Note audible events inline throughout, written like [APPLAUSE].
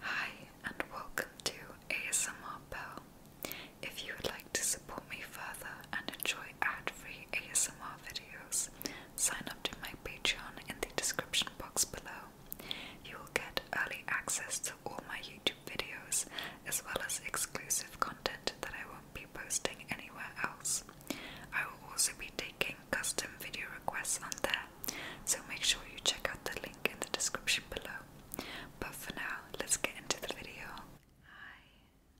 Hi, and welcome to ASMR Pearl. If you would like to support me further and enjoy ad free ASMR videos, sign up to my Patreon in the description box below. You will get early access to all my YouTube videos as well as exclusive content that I won't be posting anywhere else. I will also be taking custom video requests on there so make sure you check out the link in the description below. But for now, let's get into the video. Hi,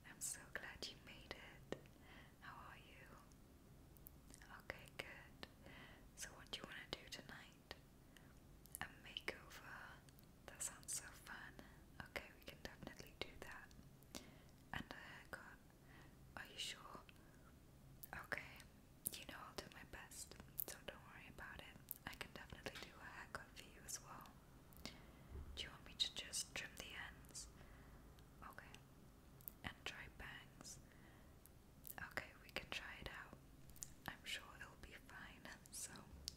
I'm so glad you made it. How are you? Okay, good. So, what do you want to do tonight? A makeover? That sounds so fun. Okay, we can definitely do that. And a haircut? Are you sure? Okay, you know I'll do my best, so don't worry about it. I can definitely do a haircut for you as well. Do you want me to just trim the ends? Okay. And try bangs. Okay, we can try it out. I'm sure it'll be fine, [LAUGHS] so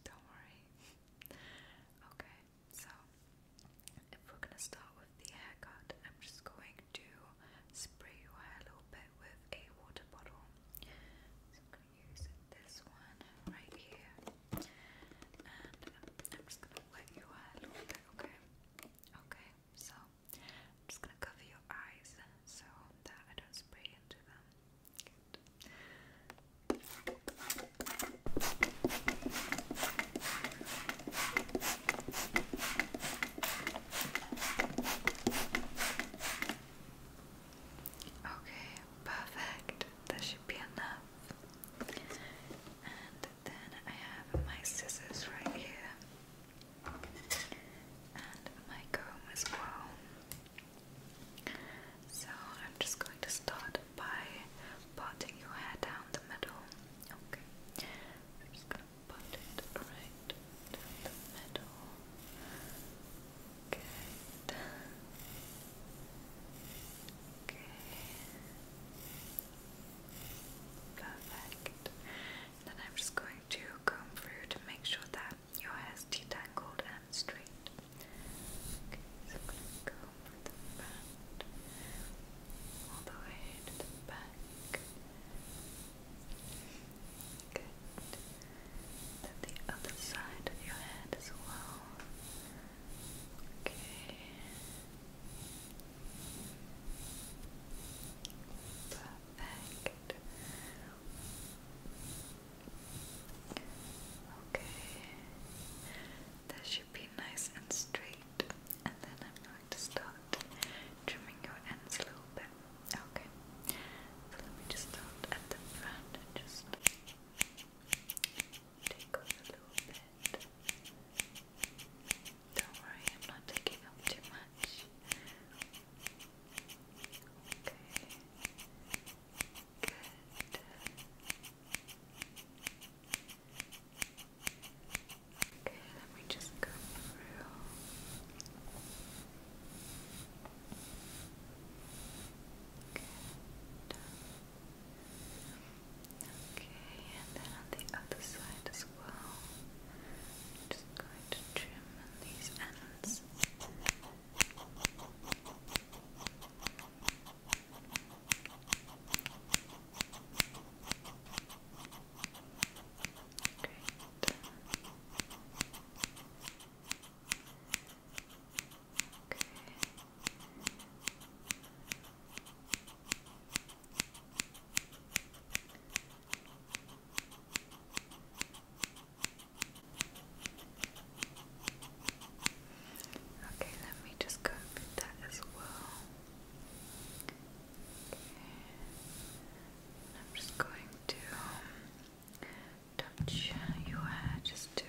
don't worry. okay, so if we're gonna start with the haircut, I'm just going to spray your hair a little bit with a water bottle. So I'm going to use this one right here. And I'm just going to wet your hair okay? Okay, so I'm just going to cover your eyes so that I don't spray into them. Okay, perfect. That should be enough. And then I have my scissors right here. And my comb as well. So I'm just going to start by parting your hair down the middle. Okay put it right down the middle. Good. Okay. Perfect. Then I'm just going to comb through to make sure that your hair is detangled and straight. Okay, so I'm going to comb from the front all the way to the back. Good. And the other side of your head as well. Okay. Perfect. Okay. That should be nice and straight and then I'm going to start trimming your ends a little bit. Okay, so let me just start at the front and just take off a little bit. Don't worry, I'm not taking up too much. Okay, good. Okay, let me just go through. Good. Okay, and then on the other side as well. just going to trim these ends. Great. Okay. Okay, let me just go with that as well. I'm just going to um, touch your hair just to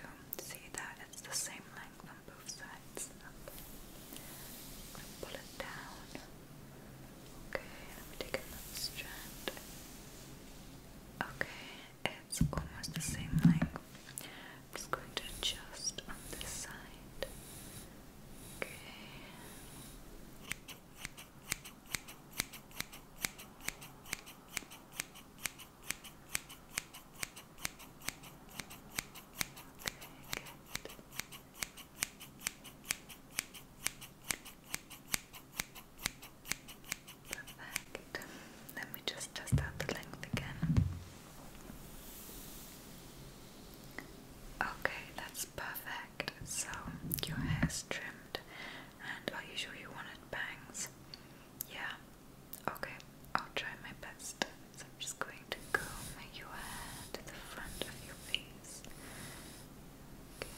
see that it's the same length on both sides. pull it down. Okay, let me take another strand. Okay, it's almost the same length. I'm just going to adjust on this side. Okay. Okay, Perfect. Let me just test out the length again. Okay, that's perfect. So your hair's trimmed, and are you sure you wanted bangs? Yeah. Okay, I'll try my best. So I'm just going to comb your hair to the front of your face. Good.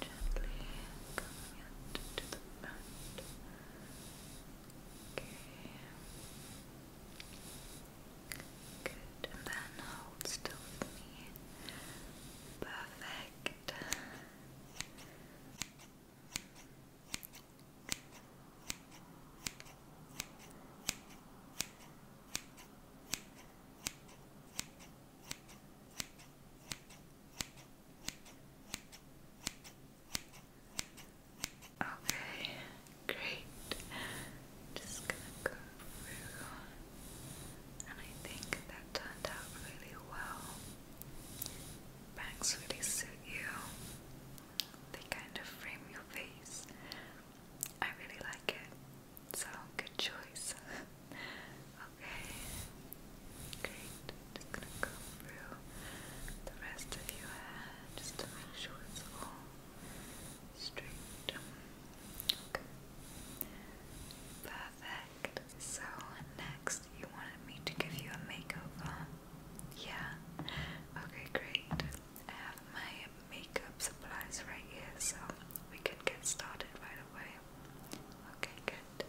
Just gently combing it to the front. Okay. Good, and then hold still with me. Perfect. Okay, great. Just gonna go through, and I think that turned out really well. Bangs really suit you. They kind of frame your face. I really like it. So good choice. [LAUGHS] okay. Great. Just gonna go through the rest of your hair just to make sure it's all straight. Okay. Perfect. So next you wanted me to give you a makeover. Yeah. Okay, great. I have my makeup supplies right here, so we can get started right away. Okay, good.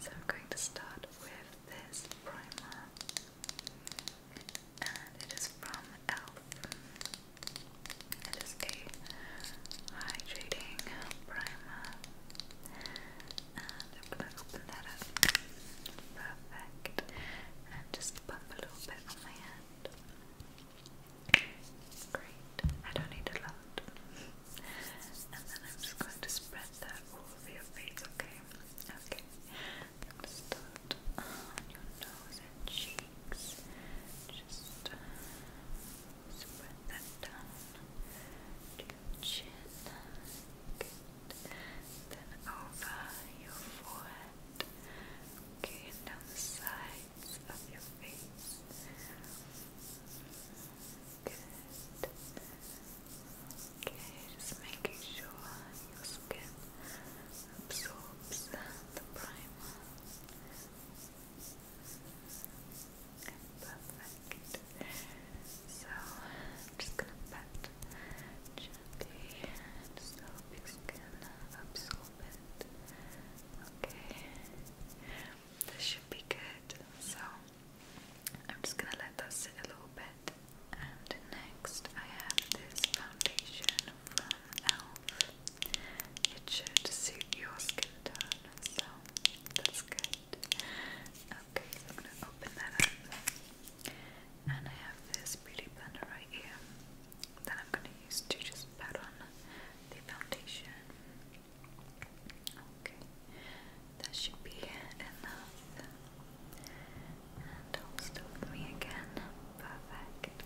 So I'm going to start with this primer and it is from e.l.f. It is a hydrating primer, and I'm going Perfect. And just pump a little bit on my hand. Great. I don't need a lot. And then I'm just going to spread that all over your face, okay? Okay. i start on your nose and cheeks. Just uh, spread that down to your chin. Good. Then over your forehead. Okay, and down the sides of your face. Good. Okay, just making sure your skin absorbs the primer. Okay, perfect. So just gonna pat gently and just skin absorb it. Okay. This should be good. So I'm just gonna let that sit a little bit. And next, I have this foundation from e.l.f. It should suit your skin tone, so that's good. Okay, I'm gonna open that up. And I have this beauty blender right here that I'm gonna use to just pat on the foundation. Okay, that should be enough. And hold still with me again. Perfect.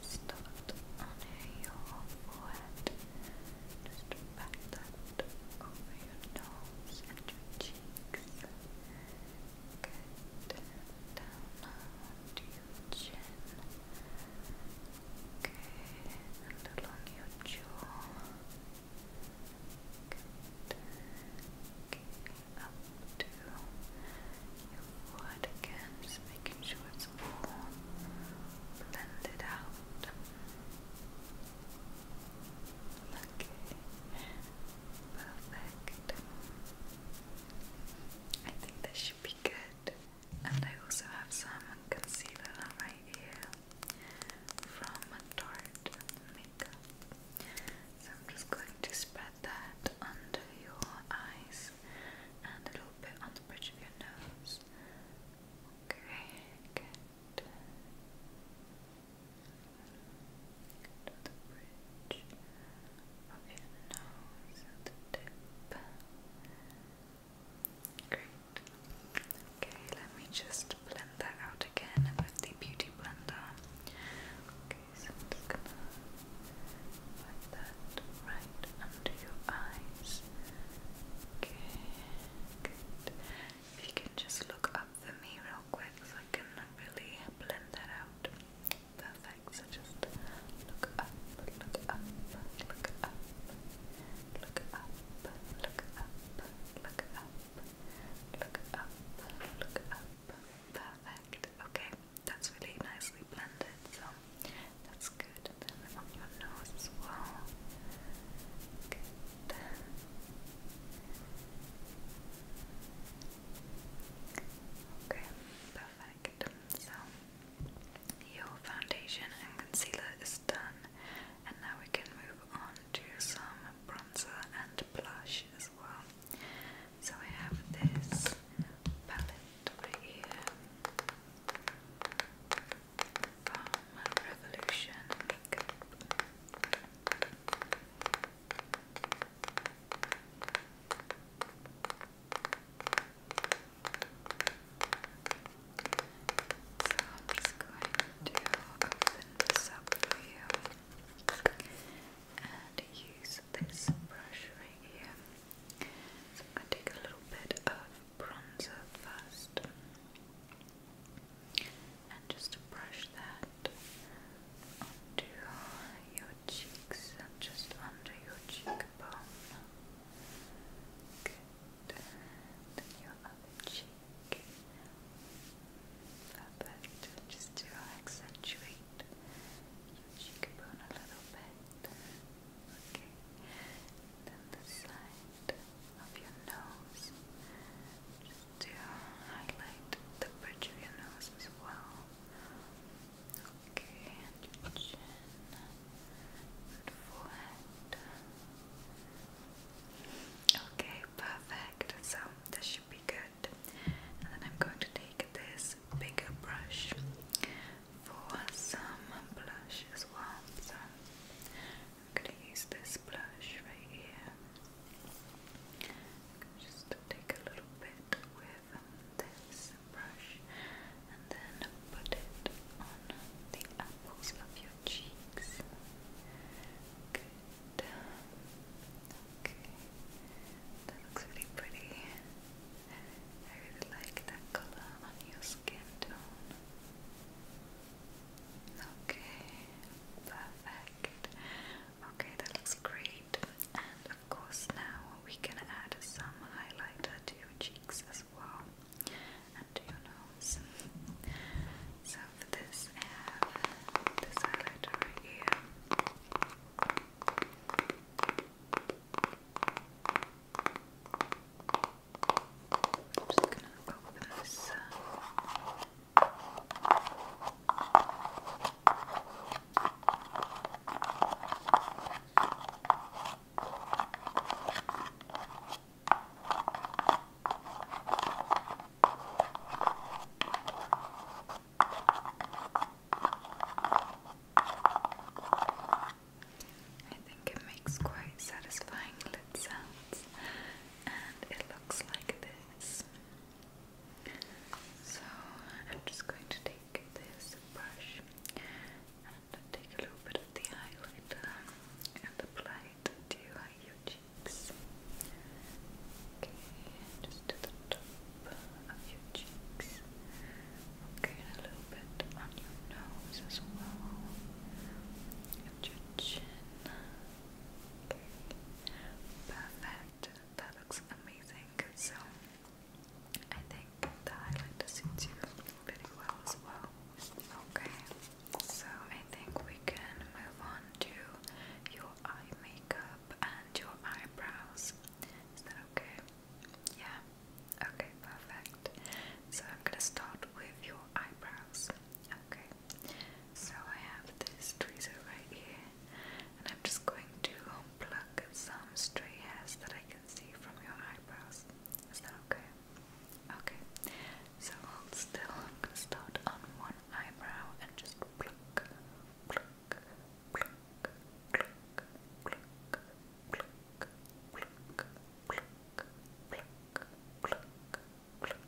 Start on your forehead. Just back that over your nose and your cheeks. Good. Down to your chin. Okay. And along your jaw up to your again, just making sure it's all blended out. Okay, perfect. I think that should be good. And I also have some concealer on my ear from Tarte Makeup. So I'm just going to spread that under your eyes and a little bit on the bridge of your nose. Okay, good. To the bridge of nose the tip. Great. Okay, let me just blend that out again with the beauty blender. Okay, so I'm gonna like that right under your eyes. Okay, If you can just look up for me quick so I can really blend that out. Perfect. So just look up, look up, look up, look up, look up, look up look up, look up. Perfect. Okay, that's really nicely blended, so that's good. your nose well. Good. Okay, perfect. So your foundation and concealer is is done and now we can move on to some bronzer and blush as well so I have this palette over here Revolution I'm just going to open this up for you and use this brush right here. So i take a little bit of bronzer first and just brush that onto your cheeks and just under your cheekbone. Good. then your other cheek perfect, just to accentuate cheekbone a little bit okay, then the side of your nose just to highlight the bridge of your nose as well okay, and your chin and forehead Okay, perfect. So this should be good. And then I'm going to take this bigger brush for some blush as well. So I'm going to use this blush right here. Just take a little bit with this brush and then put it on the apples of your cheeks. Good. Okay. That looks really pretty. I really like that color on your skin tone. Okay, perfect. Okay, that looks great. And of course, now we can add some highlighter to your cheeks as well and to your nose. So for this, I have this highlighter right here. I'm just gonna go with this. I think it makes quite satisfying lid sounds, and it looks like this. So I'm just going to take this brush and take a little bit of the highlighter apply it to your cheeks. Okay, just to the top of your cheeks. Okay, a little bit on your nose as well. your chin. Okay. Perfect. That looks amazing. So I think the highlighter suits you very well as well. Okay. So I think we can move on to your eye makeup and your eyebrows. Is that okay? Yeah. Okay, perfect. So I'm gonna start with your eyebrows. Okay. So I have this tweezer right here, and I'm just going to pluck some stray hairs that I can see from your eyebrows. Is that okay? Okay, so still. I'm gonna start on one eyebrow and just pluck, pluck, pluck, pluck, pluck, pluck, pluck, pluck, pluck, pluck, pluck.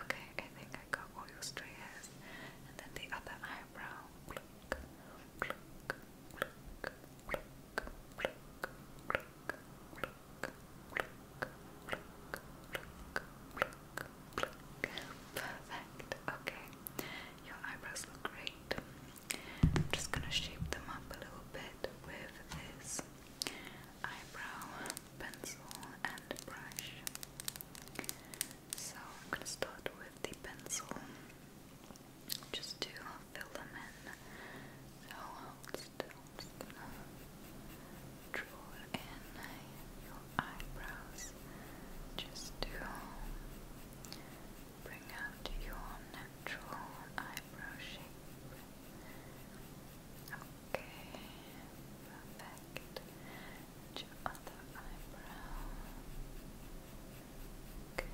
Okay, I think I got all your stray hairs, and then the other eyebrow. Perfect. Okay, your eyebrows look great. I'm just gonna shape them up a little bit with this eyebrow pencil and brush. So I'm gonna start with the pencil. Just do I'll fill them in. So hold still. draw in your eyebrows just to bring out your natural eyebrow shape. Okay, perfect. And eyebrow. Good.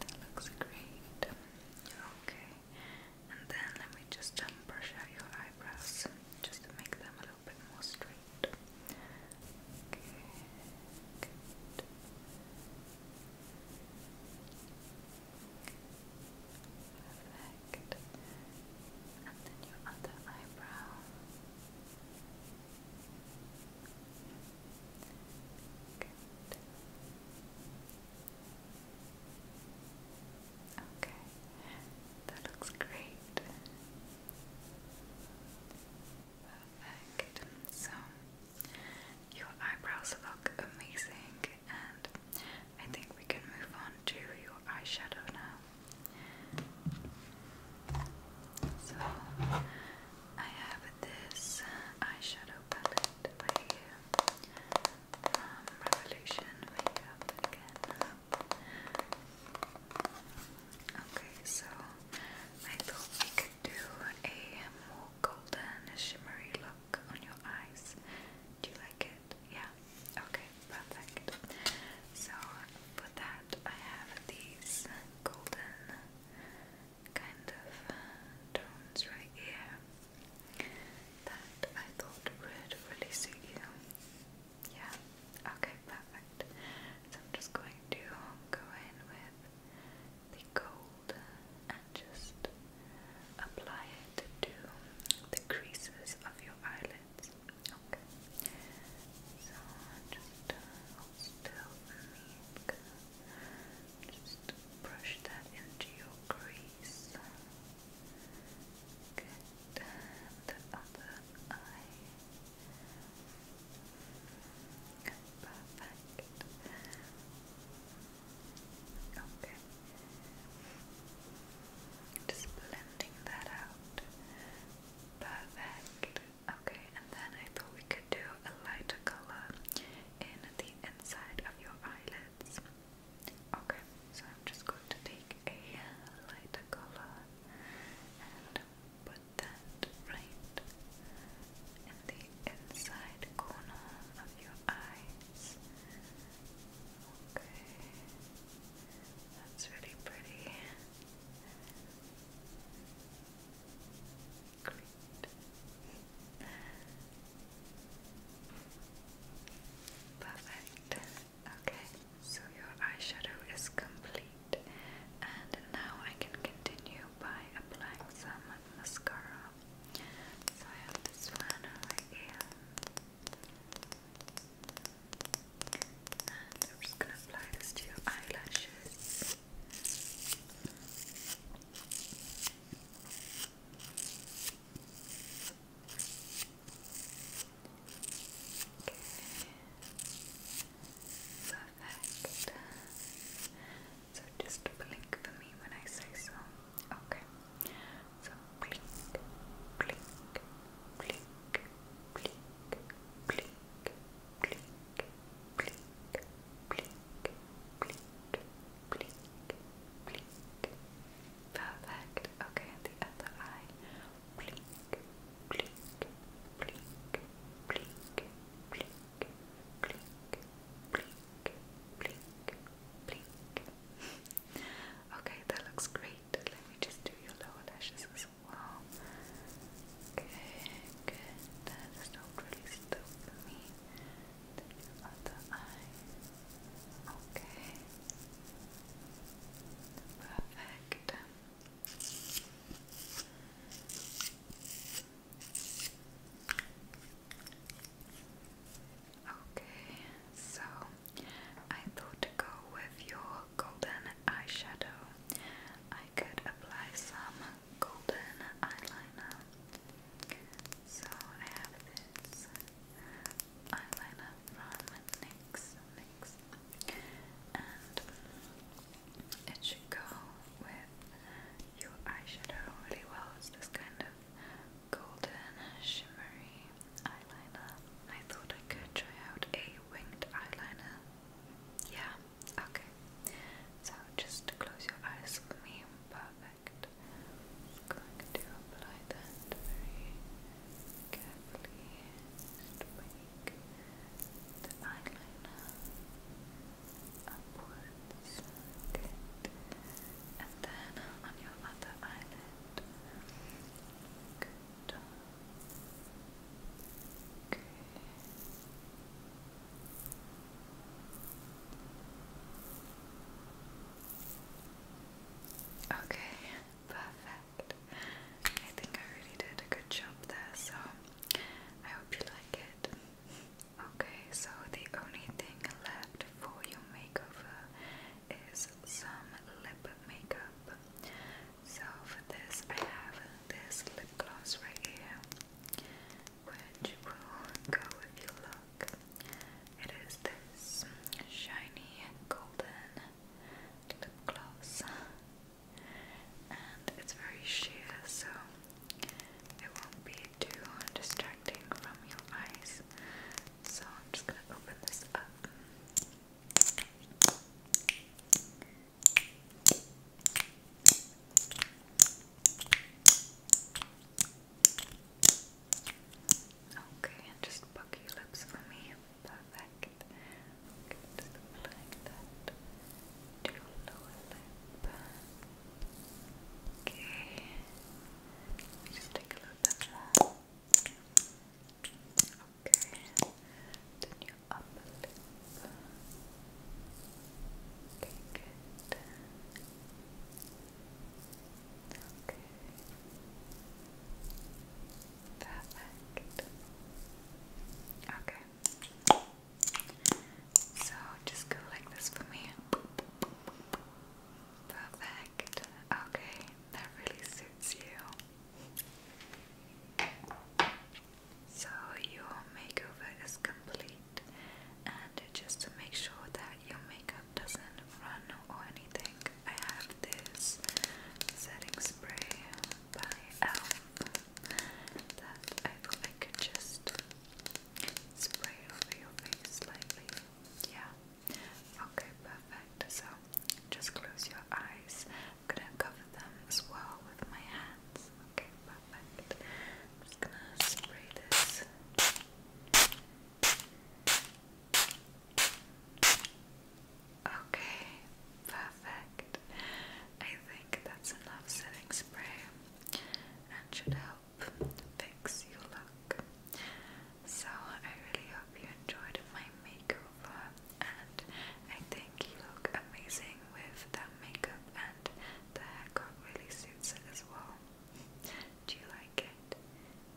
That looks great. Okay. And then let me just um, brush out your eyebrows just to make them a little bit more straight. Perfect. And then your other eyebrow. Good. Okay, that looks great. Perfect. So, your eyebrows look amazing, and I think we can move on to your eyeshadow now. So I have this eyeshadow palette by Revolution Makeup again. Okay, so I thought we could do a more golden shimmery look on your eyes. Do you like it? Yeah. Okay, perfect. So for that I have these golden kind of uh, tones right here that I thought would really suit you. Yeah, okay, perfect. So I'm just going to go in with the gold and just apply it to the creases of your eyelids. Okay. So just still Just brush that into your crease. Good. The other eye. Perfect. Okay. Just blending that out. Perfect. Okay, and then I thought we could do a lighter color in the inside of your eyelids. Okay, so I'm just going to take a lighter color and put that right in the inside corner of your eyes. Okay, that's really pretty. Perfect. Okay, so your eyeshadow is complete, and now I can continue by applying some mascara. So I have this one right here. And I'm just going to apply this to your eyelashes. Okay. Perfect. So just blink for me when I say so. Okay. So blink, blink, blink, blink, blink, blink, blink, blink, blink, blink, blink, blink. Blink, blink, blink, blink, blink, blink, blink, blink, blink. Okay, that looks great. Let me just do your lower lashes as well. Okay, good. That is not really still for me. Then eye. Okay. Perfect. Okay, so I thought to go with your golden eyeshadow. I could apply some golden eyeliner. So I have this eyeliner from NYX, and it should go with your eyeshadow really well. It's this kind of golden shimmery eyeliner. I thought I could try out a winged eyeliner. Yeah, okay. So just close your eyes for me. Perfect. going to apply that very carefully. Just the eyeliner upwards. Good. And then on your other eyelid. Good. Okay. perfect. I think I really did a good job there, so I hope you like it. Okay, so the only thing left for your makeover is some lip makeup. So for this I have this lip gloss right here which will go if you look. It is this shiny and golden lip gloss and it's very sheer so it won't be too distracting from your eyes. So I'm just gonna open this up. Okay, and just buck your lips for me. Perfect. just applying that to your lower lip. Okay. Just take a little bit more. Okay. Then your upper lip. Perfect. Okay. So just go like this for me. Perfect. Okay, that really suits you. So your makeover is complete and just to make sure that your makeup doesn't run or anything, I have this setting spray by Elf that I thought I could just spray over your face slightly. Yeah. Okay, perfect. So just close your eyes. I'm gonna cover them as well with my hands. Okay, perfect. just gonna spray this. Okay, perfect. I think that's enough setting spray and should help fix your look. So I really hope you enjoyed my makeover and I think you look amazing with that makeup and the haircut really suits it as well. [LAUGHS] Do you like it?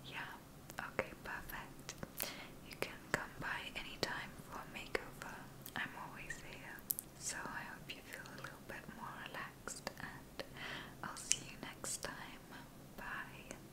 Yeah? Okay, perfect. You can come by anytime for a makeover. I'm always here. So I hope you feel a little bit more relaxed and I'll see you next time. Bye.